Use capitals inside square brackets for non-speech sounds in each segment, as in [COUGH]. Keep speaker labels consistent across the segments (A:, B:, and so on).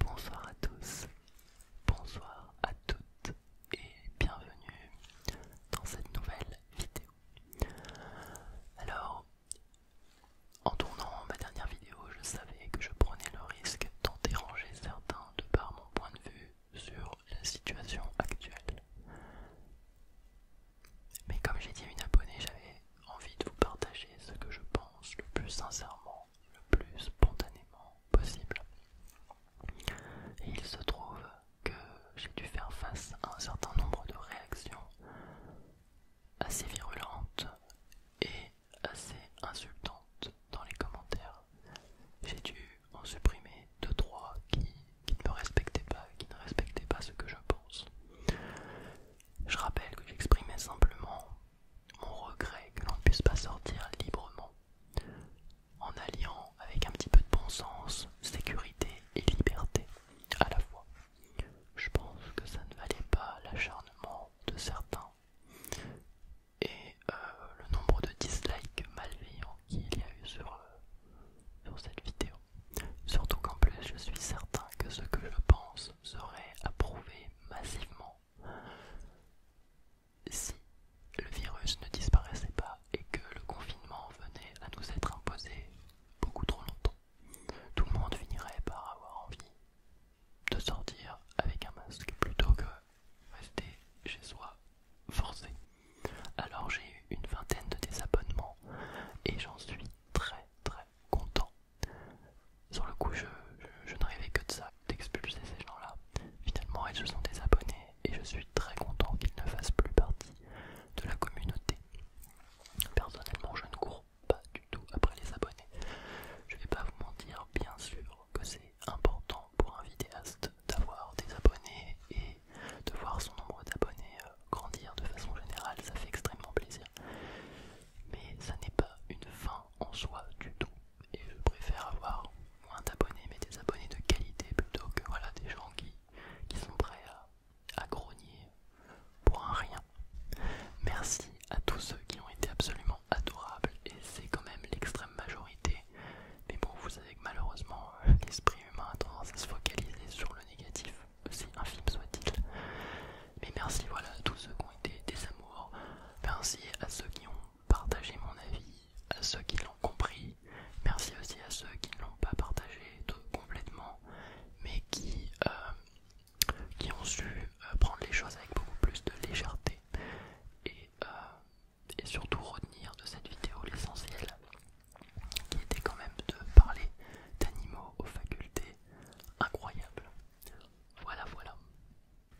A: Bonsoir à tous, bonsoir à toutes et bienvenue dans cette nouvelle vidéo. Alors, en tournant ma dernière vidéo, je savais que je prenais le risque d'en déranger certains de par mon point de vue sur la situation actuelle. Mais comme j'ai dit à une abonnée, j'avais envie de vous partager ce que je pense le plus sincèrement le plus spontanément possible. Et il se trouve que j'ai dû faire face à un certain nombre de réactions assez virulentes et assez insultantes dans les commentaires. J'ai dû en supprimer deux trois qui ne me respectaient pas, qui ne respectaient pas ce que je pense. Je rappelle que j'exprimais simplement mon regret que l'on ne puisse pas sortir librement en alliant avec un petit peu de bon sens sécurité et liberté à la fois. Je pense que ça ne valait pas l'acharnement de certains et euh, le nombre de dislikes malveillants qu'il y a eu sur, euh, sur cette vidéo. Surtout qu'en plus je suis certain que ce que je pense serait approuvé massivement. Si le virus ne disparaissait pas et que le confinement venait à nous être imposé beaucoup trop longtemps, tout le monde finirait par avoir envie de sortir avec un masque plutôt que rester chez soi forcé. Alors j'ai eu une vingtaine de désabonnements et j'en suis très très content. Sur le coup, je, n'arrivais ne rêvais que de ça, d'expulser ces gens-là. Finalement, ils se sont désabonnés et je suis très content qu'ils ne fassent plus partie de la communauté. Personnellement, je ne cours pas du tout après les abonnés. Je vais pas vous mentir, bien sûr que c'est important pour un vidéaste d'avoir des abonnés et de voir son nombre d'abonnés euh, grandir de façon générale, ça fait extrêmement plaisir mais ça n'est pas une fin en soi du tout. Et je préfère avoir moins d'abonnés, mais des abonnés de qualité plutôt que voilà des gens qui, sont prêts à, à grogner pour un rien. Merci à tous ceux qui ont été absolument adorables, et c'est quand même l'extrême majorité. Mais bon, vous savez que malheureusement, euh, l'esprit humain a tendance à se focaliser sur le négatif aussi infime soit-il. Mais merci voilà à tous ceux qui ont été des amours, merci à ceux qui ont partagé mon avis, à ceux qui l'ont compris, merci aussi à ceux qui ne l'ont pas partagé complètement, mais qui, euh, qui ont su euh, prendre les choses avec beaucoup plus de légèreté euh, et surtout retenir de cette vidéo l'essentiel qui était quand même de parler d'animaux aux facultés incroyable. Voilà, voilà.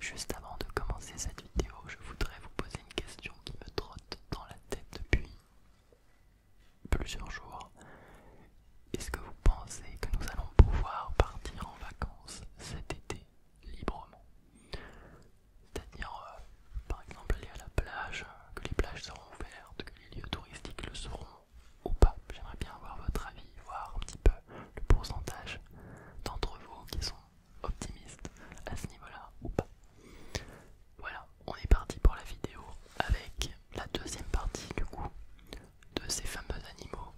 A: Juste avant de commencer cette vidéo, je voudrais vous poser une question qui me trotte dans la tête depuis plusieurs jours. Est-ce que vous pensez que nous allons pouvoir partir en vacances cet été librement C'est-à-dire, euh, par exemple, aller à la plage, que les plages seront ouvertes, que les lieux touristiques le seront, ou pas. J'aimerais bien avoir votre avis, voir un petit peu le pourcentage d'entre vous qui sont optimistes à ce niveau-là ou pas. Voilà, on est parti pour la vidéo avec la deuxième partie du coup de ces fameux animaux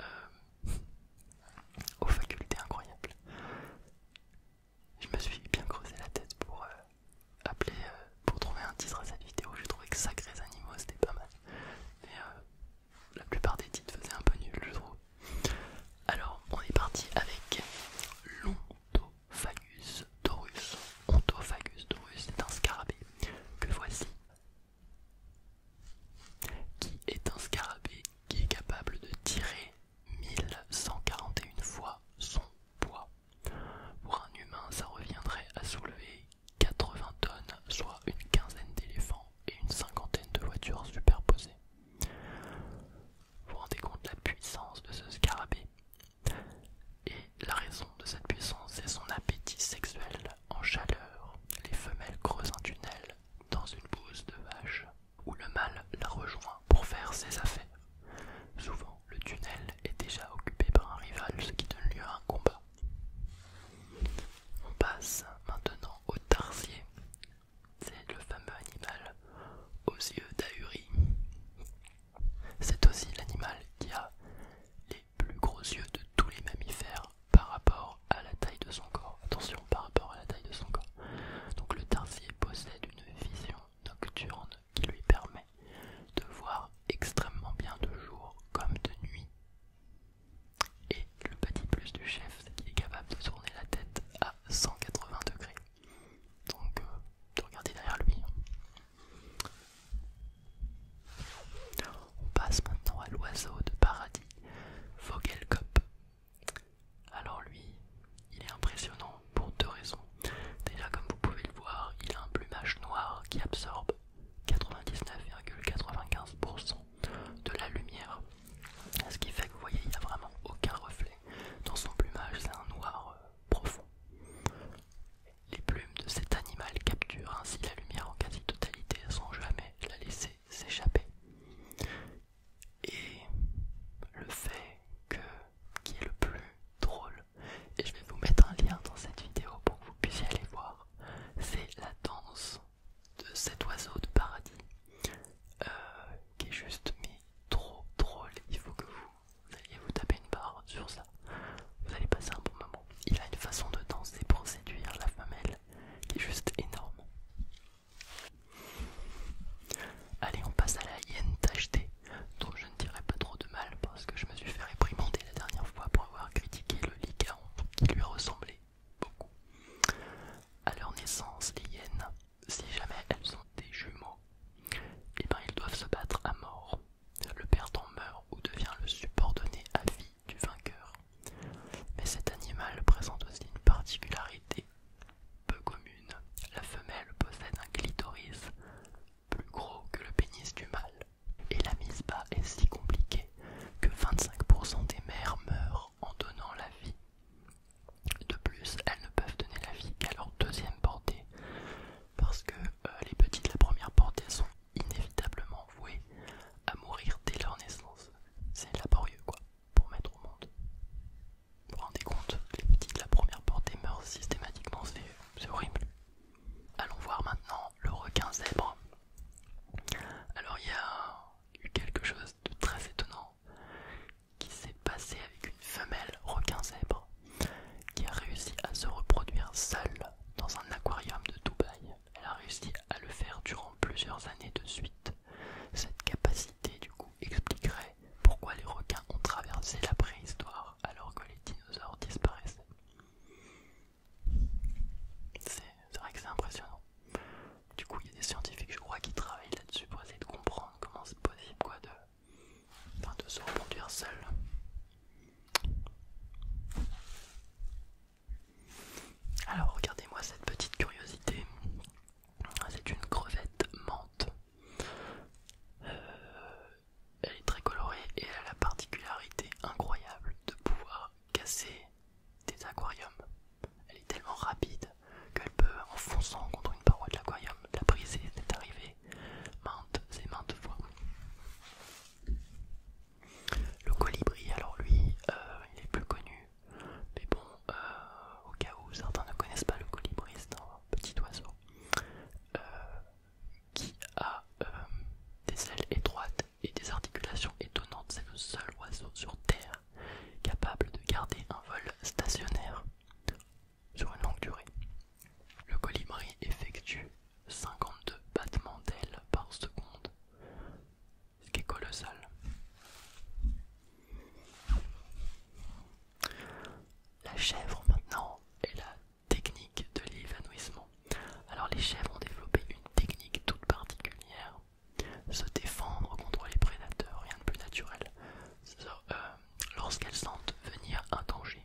A: euh, [LAUGHS] aux facultés incroyables. Je me suis bien creusé la tête pour euh, appelé euh, pour trouver un titre à cette vidéo. J'ai trouvé que Sacrés Animaux c'était pas mal. Mais euh, la plupart des titres faisaient un peu nul, je trouve. Alors, on est parti avec l'Ontophagus dorus. Ontophagus dorus, c'est un scarabée que voici. Qui est un scarabée qui est capable de tirer 1141 fois son poids. Pour un humain, ça reviendrait à soulever 80 tonnes, soit une quinzaine d'éléphants et une cinquantaine de voitures superposées. Vous vous rendez compte de la puissance de ce scarabée Et la raison de cette puissance, est son appétit sexuel en chaleur. Les femelles creusent un tunnel dans une bouse de vache où le mâle la rejoint pour faire ses affaires le tunnel est déjà occupé par un rival, ce qui donne lieu à un combat. On passe maintenant au tarsier. C'est le fameux animal aux yeux d'ahuri. C'est aussi l'animal qui a les plus gros yeux de tous les mammifères par rapport à la taille de son corps. Attention, par rapport à la taille de son corps. Donc le tarsier possède une vision nocturne qui lui permet de voir extrêmement bien de jour comme de nuit. Et le petit plus du chef, c'est qu'il est capable de tourner la tête à 180 degrés. Donc, euh, de regarder derrière lui. On passe maintenant à l'oiseau de paradis, Vogelkop. Alors lui, il est impressionnant pour deux raisons. Déjà, comme vous pouvez le voir, il a un plumage noir qui absorbe 99,95% de la lumière. Ce qui fait que vous voyez, il n'y a vraiment aucun reflet. Dans son plumage, c'est un noir euh, profond. Les plumes de cet animal capturent ainsi la lumière en quasi-totalité sans jamais la laisser s'échapper. Et le fait que qui est le plus drôle et je vais vous mettre un lien dans cette vidéo pour que vous puissiez aller voir c'est la danse de cet oiseau de paradis euh, qui est juste mais trop drôle il faut que vous, alliez vous taper une barre sur ça vous allez passer un bon moment il a une façon de danser pour séduire la femelle qui est juste énorme allez on passe à la hyène tachetée donc je ne dirai pas trop de mal parce que je me suis fait réprimander la dernière fois pour avoir critiqué le lycaon qui lui ressemblait beaucoup. À leur naissance, les hyènes, si jamais elles sont des jumeaux, eh bien ils doivent se battre à mort. Le perdant meurt ou devient le subordonné à vie du vainqueur. Mais cet animal présente aussi une particularité, peu commune, la femelle possède un clitoris plus gros que le pénis du mâle. Et la mise bas est si compliquée que 25% des mères meurent en donnant la vie. De plus, elles ne peuvent donner la vie qu'à leur deuxième portée, parce que euh, les petits de la première portée sont inévitablement voués à mourir dès leur naissance. C'est laborieux, quoi, pour mettre au monde. Vous vous rendez compte, les petits de la première portée meurent systématiquement, c'est horrible. Allons voir maintenant le requin zèbre. Alors il y a eu quelque chose de très étonnant qui s'est passé avec une femelle requin zèbre qui a réussi à se reproduire seule dans un aquarium de Dubaï. Elle a réussi à le faire durant plusieurs années de suite. Cette capacité du coup expliquerait pourquoi les requins ont traversé la préhistoire alors que les dinosaures disparaissaient. C'est vrai que c'est impressionnant. Du coup, il y a des scientifiques, je crois, qui travaillent là-dessus pour essayer de comprendre comment c'est possible quoi, de, de se reproduire seul. Alors, regardez-moi cette petite curiosité. C'est une crevette menthe. Euh, elle est très colorée et elle a la particularité incroyable de pouvoir casser des aquariums. Elle est tellement rapide qu'elle peut, en fonçant contre une paroi de l'aquarium, la briser. est arrivé maintes c'est maintes fois. Le colibri, alors lui, euh, il est plus connu, mais bon, euh, au cas où certains ne connaissent pas le colibri, c'est un petit oiseau euh, qui a euh, des ailes étroites et des articulations étonnantes. C'est le seul oiseau sur Terre capable de garder un vol stationnaire sur une longue durée. Le colibri effectue 52 battements d'ailes par seconde, ce qui est colossal. La chèvre maintenant est la technique de l'évanouissement. Alors les chèvres ont développé une technique toute particulière. Se défendre contre les prédateurs, rien de plus naturel. Euh, lorsqu'elles sentent venir un danger,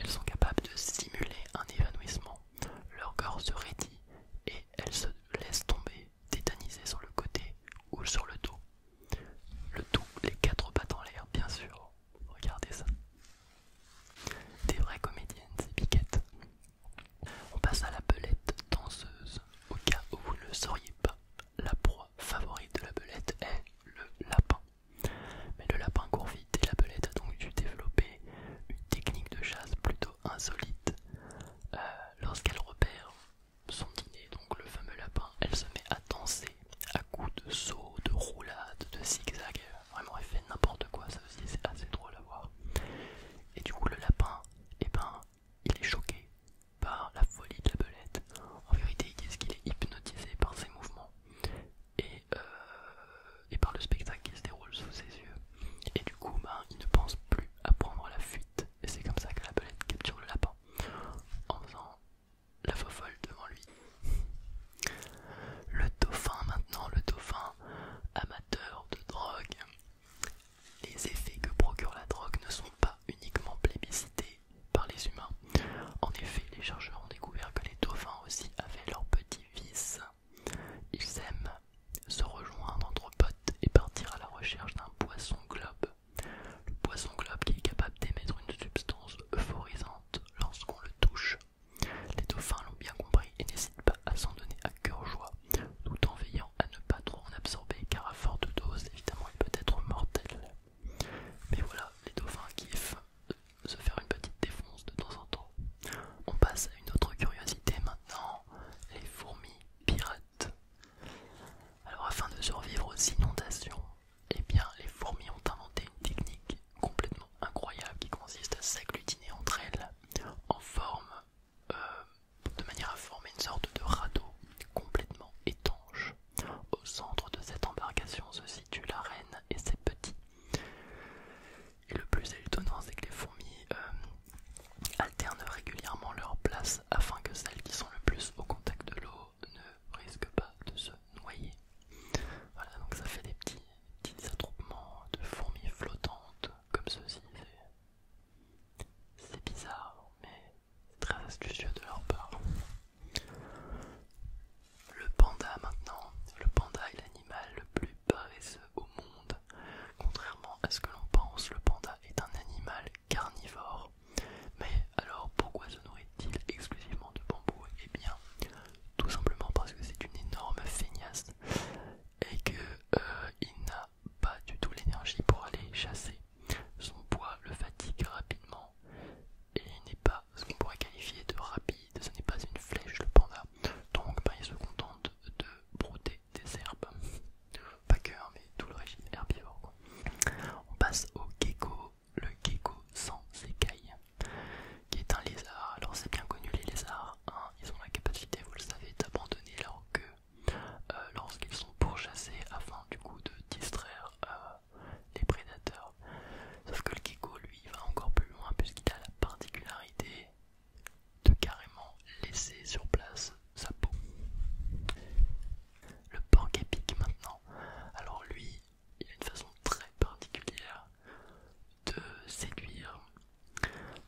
A: elles sont capables de simuler un évanouissement. Leur corps se raidit et elles se laissent tomber tétanisé sur le côté ou sur le dos. Le tout, les quatre pattes en l'air, bien sûr. Regardez ça. Des vraies comédiennes, ces piquettes. On passe à la belette danseuse. Au cas où vous ne le sauriez pas, la proie favorite de la belette est le lapin. Mais le lapin court vite et la belette a donc dû développer une technique de chasse plutôt insolite. Euh, lorsqu'elle repère son dîner, donc le fameux lapin, elle se met à danser à coups de sauts, de roulades, de zigzags. Vraiment, elle fait n'importe quoi, ça aussi c'est assez drôle à voir. Et du coup, le lapin, et eh ben, il est choqué par la folie de la belette. En vérité, ils disent qu'il est hypnotisé par ses mouvements et, euh, et par le spectacle qui se déroule sous ses yeux. Et du coup, ben, il ne pense plus à prendre la fuite et c'est comme ça que la belette capture le lapin, en faisant la fofolle devant lui. Le dauphin maintenant, le dauphin amateur de drogue. Les effets que procure la drogue ne sont pas uniquement plébiscités par les humains. En effet, les chercheurs ont découvert que les dauphins aussi avaient leurs petits vices. Ils aiment se rejoindre entre potes et partir à la recherche d'un poisson globe le poisson globe qui est capable d'émettre une substance euphorisante lorsqu'on le touche. Les dauphins l'ont bien compris et n'hésitent pas à s'en donner à cœur joie, tout en veillant à ne pas trop en absorber car à forte dose, évidemment, il peut être mortel. Mais voilà, les dauphins kiffent euh, se faire une petite défonce de temps en temps. On passe à une autre curiosité maintenant, les fourmis pirates. Alors afin de survivre aux inondations, eh bien, les fourmis ont inventé une technique complètement incroyable qui consiste à s'agglutiner entre elles en forme, euh, de manière à former une sorte de radeau complètement étanche. Au centre de cette embarcation se situe la reine et ses petits. Et le plus étonnant, c'est que les fourmis euh, alternent régulièrement leur place afin que celles qui sont le plus au contact de l'eau ne risquent pas de se noyer. Voilà, donc ça fait des petits, petits attroupements de fourmis flottantes comme ceci. C'est bizarre, mais très astucieux de leur part. Le panda maintenant, le panda est l'animal le plus paresseux au monde. Contrairement à ce que l'on pense, le panda est un animal carnivore. Mais alors pourquoi se nourrit-il exclusivement de bambou Eh bien, tout simplement parce que c'est une énorme feignasse et qu'il euh, n'a pas du tout l'énergie pour aller chasser. Son poids le fatigue rapidement et il n'est pas ce qu'on pourrait qualifier de rapide, ce n'est pas une flèche le panda. Donc ben, il se contente de brouter des herbes. Pas que, hein, mais tout le régime herbivore. On passe au gecko, le gecko sans écailles, qui est un lézard. Alors c'est bien connu les lézards, hein, ils ont la capacité, vous le savez, d'abandonner leur queue euh, lorsqu'ils sont pourchassés afin du coup de distraire euh, les prédateurs. Sauf que le gecko, lui, va encore plus loin puisqu'il a la particularité de carrément laisser sur place sa peau. Le porc épique maintenant. Alors lui, il a une façon très particulière de séduire.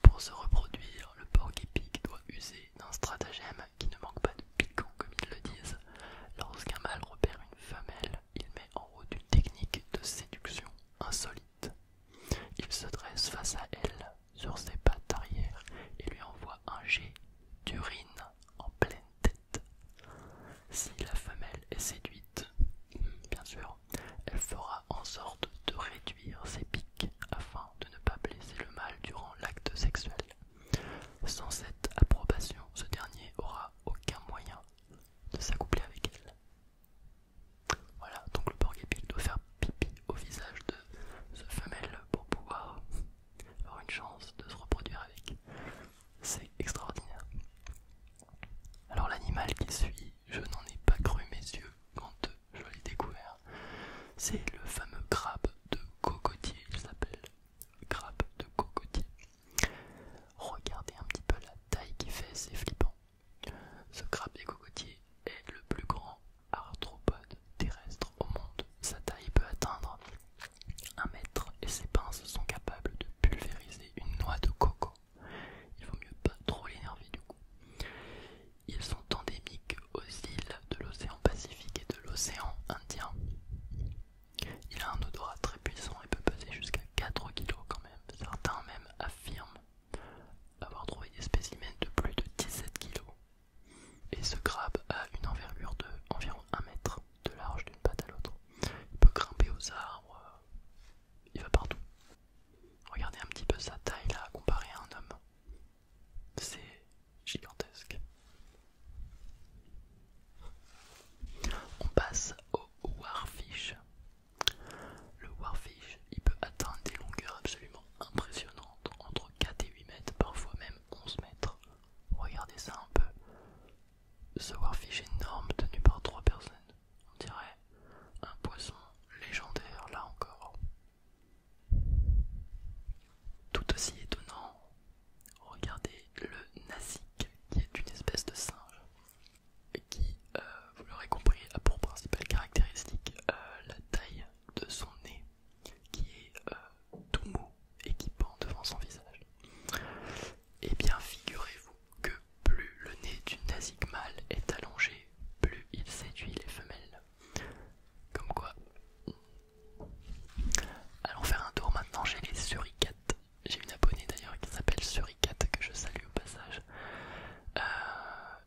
A: Pour se reproduire, le porc épique doit user d'un stratagème qui ne manque pas de piquant comme ils le disent. Lorsqu'un mâle repère une femelle, il met en route une technique de séduction insolite. Il se dresse face à elle sur ses pattes arrière et lui envoie un jet d'urine en pleine tête. Si la femelle est séduite, bien sûr, elle fera en sorte de réduire ses pics afin de ne pas blesser le mâle durant l'acte sexuel. Sans cette approbation, ce dernier aura aucun moyen de s'accoupler avec elle. Voilà, donc le porc-épic doit faire pipi au visage de ce femelle pour pouvoir avoir une chance de se reproduire avec. C'est extraordinaire. Alors l'animal qui suit, je n'en ai pas cru mes yeux quand je l'ai découvert. C'est le fameux crabe de cocotier, il s'appelle crabe de cocotier. Regardez un petit peu la taille qu'il fait, c'est flippant. Ce des cocotier est le plus grand arthropode terrestre au monde. Sa taille peut atteindre 1 mètre et ses pinces sont capables de pulvériser une noix de coco. Il vaut mieux pas trop l'énerver du coup. Ils sont endémiques aux îles de l'océan Pacifique et de l'océan Indien. Il a un odorat très puissant et peut peser jusqu'à 4 kg quand même. Certains même affirment avoir trouvé des spécimens de plus de 17 kg. Et ce crabe a une envergure de environ 1 mètre de large d'une patte à l'autre. Il peut grimper aux arbres, euh, il va partout. Regardez un petit peu sa taille là, comparée à un homme. C'est gigantesque. On passe au warfish. Le warfish il peut atteindre des longueurs absolument impressionnantes, entre 4 et 8 mètres, parfois même 11 mètres. Regardez ça un peu. Ce warfish énorme tenu par trois personnes. On dirait un poisson légendaire là encore. Tout aussi étonnant, regardez le nasique qui est une espèce de singe qui, euh, vous l'aurez compris, a pour principale caractéristique euh, la taille de son nez, qui est euh, tout mou et qui pend devant son visage. Eh bien, figurez-vous que plus le nez du nasique mâle est allongé, plus il séduit les femelles. Comme quoi. Allons faire un tour maintenant j'ai les suricates. J'ai une abonnée d'ailleurs qui s'appelle Suricate que je salue au passage euh,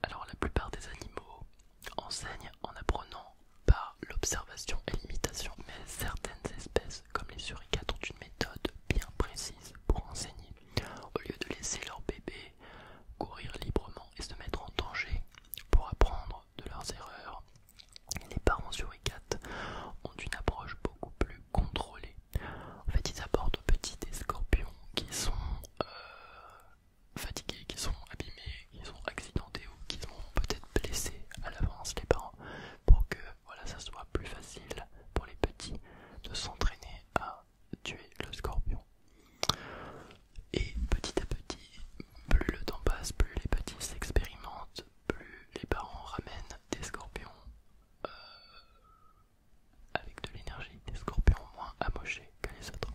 A: alors la plupart des animaux enseignent en apprenant par l'observation et l'imitation, mais certaines espèces comme les suricates ont une méthode bien précise pour enseigner. Au lieu de laisser leurs bébés courir librement et se mettre en danger pour apprendre de leurs erreurs, les parents suricates ont une approche beaucoup plus contrôler. En fait, ils apportent aux petits des scorpions qui sont euh, fatigués, qui sont abîmés, qui sont accidentés ou qui sont peut-être blessés à l'avance les parents pour que voilà, ça soit plus facile pour les petits de s'entraîner à tuer le scorpion. Et petit à petit, plus le temps passe, plus les petits s'expérimentent, plus les parents ramènent des scorpions euh, avec de l'énergie des scorpions moins amochés que les autres.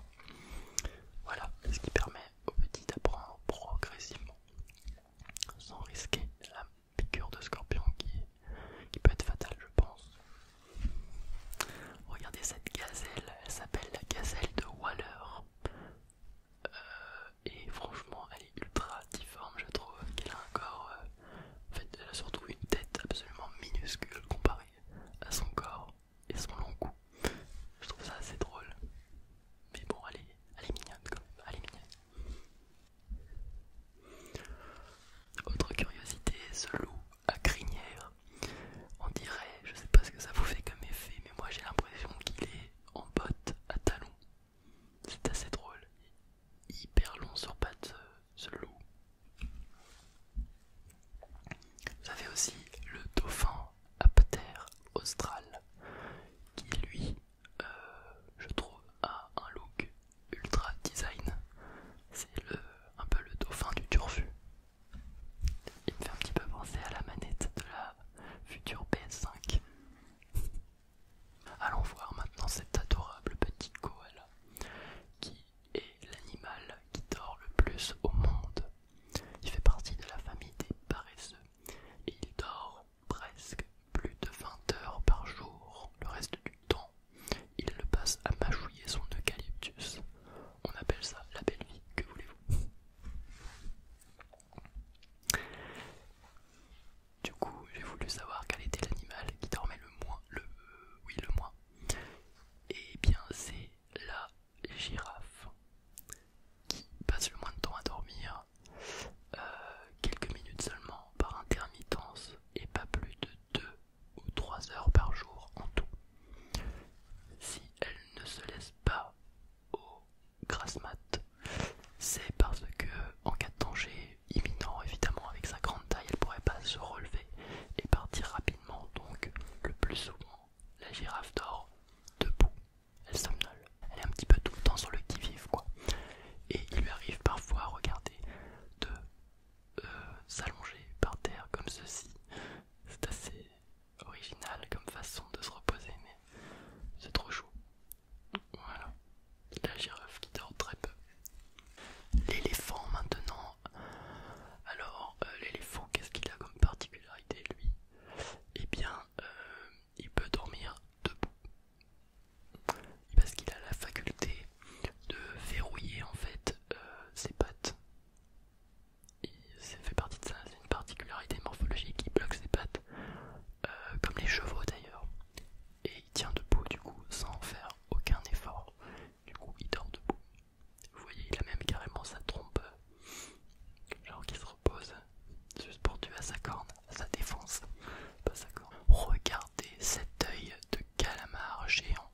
A: Voilà, ce qui permet aux petits d'apprendre progressivement sans risquer la piqûre de scorpion qui, peut être fatale je pense. Regardez cette gazelle, elle s'appelle la gazelle de Waller. Euh, et franchement elle est ultra difforme je trouve, qu'elle a un corps euh, en fait, elle a surtout une tête absolument minuscule comparée à son corps et son long cou. Je trouve ça assez drôle. Mais bon, allez, est, elle mignonne quand même. Elle est mignonne. Autre curiosité, ce loup à crinière. On dirait, je sais pas ce que ça vous fait comme effet, mais moi j'ai l'impression qu'il est en botte à talons. C'est assez drôle hyper long sur pattes, ce euh, loup. Vous avez aussi le dauphin Apter austral qui lui, euh, je trouve, a un look ultra design. C'est le, un peu le dauphin du turfu. Il me fait un petit peu penser à la manette de la future PS5. Allons voir maintenant cet adorable petit koala qui est l'animal qui dort le plus au monde. Il fait partie de la famille des paresseux et il dort presque plus de 20 heures par jour. Le reste du temps, il le passe à mâchouiller son eucalyptus. On appelle ça la belle vie, que voulez-vous du coup, j'ai voulu savoir quel était l'animal qui dormait le moins, le, euh, oui le moins. Et eh bien, c'est la girafe qui passe le moins de temps à dormir, euh, quelques minutes seulement par intermittence et pas plus de 2 ou 3 heures par jour en tout. Si elle ne se laisse pas au gras mat, c'est parce que en cas de danger, imminent évidemment avec sa grande taille elle pourrait pas se relever et partir rapidement donc le plus souvent la girafe dort debout elle somnole elle est un petit peu tout le temps sur le qui vive quoi et il lui arrive parfois regardez de euh, s'allonger par terre comme ceci c'est assez original comme façon de se reposer mais c'est trop chaud voilà la girafe qui dort très peu. L'éléphant maintenant. Alors, euh, l'éléphant, qu'est-ce qu'il a comme particularité lui Eh bien, euh, il peut dormir debout. Parce qu'il a la faculté de verrouiller en fait euh, ses pattes. Et ça fait partie de ça, c'est une particularité morphologique qui bloque ses pattes, comme les chevaux d'ailleurs et il tient debout du coup sans faire aucun effort. Du coup il dort debout. Vous voyez, il a même carrément sa trompe, genre qu'il se repose juste pour tuer à sa corne, à sa défense, pas sa corne. Regardez cet œil de calamar géant.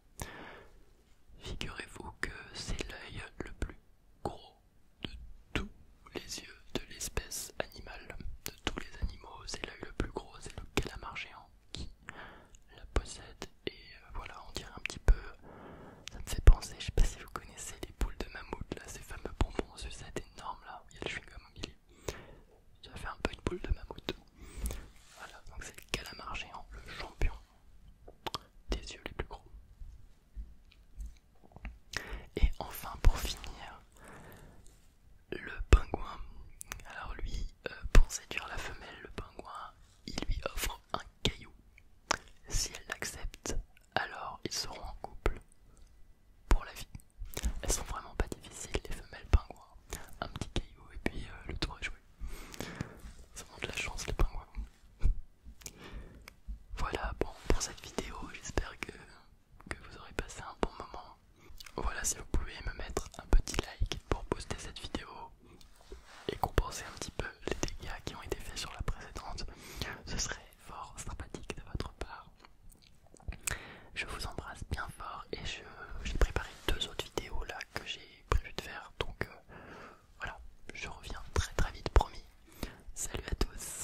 A: Figurez-vous que c'est l'œil le plus gros de tout les yeux de l'espèce animale. De tous les animaux, c'est l'œil le plus gros, c'est le calamar géant qui la possède. Et euh, voilà, on dirait un petit peu. Ça me fait penser, je sais pas si vous connaissez les boules de mammouth, là, ces fameux bonbons c'est énorme là, il y a le chewing Ça fait un peu une boule de mammouth. Voilà, donc c'est le calamar géant, le champion des yeux les plus gros. Et enfin pour finir, le pingouin. Alors lui, euh, pour séduire la femelle, le pingouin, il lui offre un caillou. Si elle l'accepte, alors ils seront en couple pour la vie. Elles sont vraiment pas difficiles les femelles pingouins. Un petit caillou et puis euh, le tour est joué. Ça de la chance les pingouins. [LAUGHS] Voilà, bon pour cette vidéo, j'espère que que vous aurez passé un bon moment. Voilà, si vous pouvez me mettre un petit like pour poster cette vidéo et compenser un petit peu les dégâts qui ont été faits sur la précédente, ce serait fort sympathique de votre part. Je vous embrasse bien fort et j'ai préparé deux autres vidéos là que j'ai prévu de faire donc euh, voilà, je reviens très très vite, promis. Salut à tous!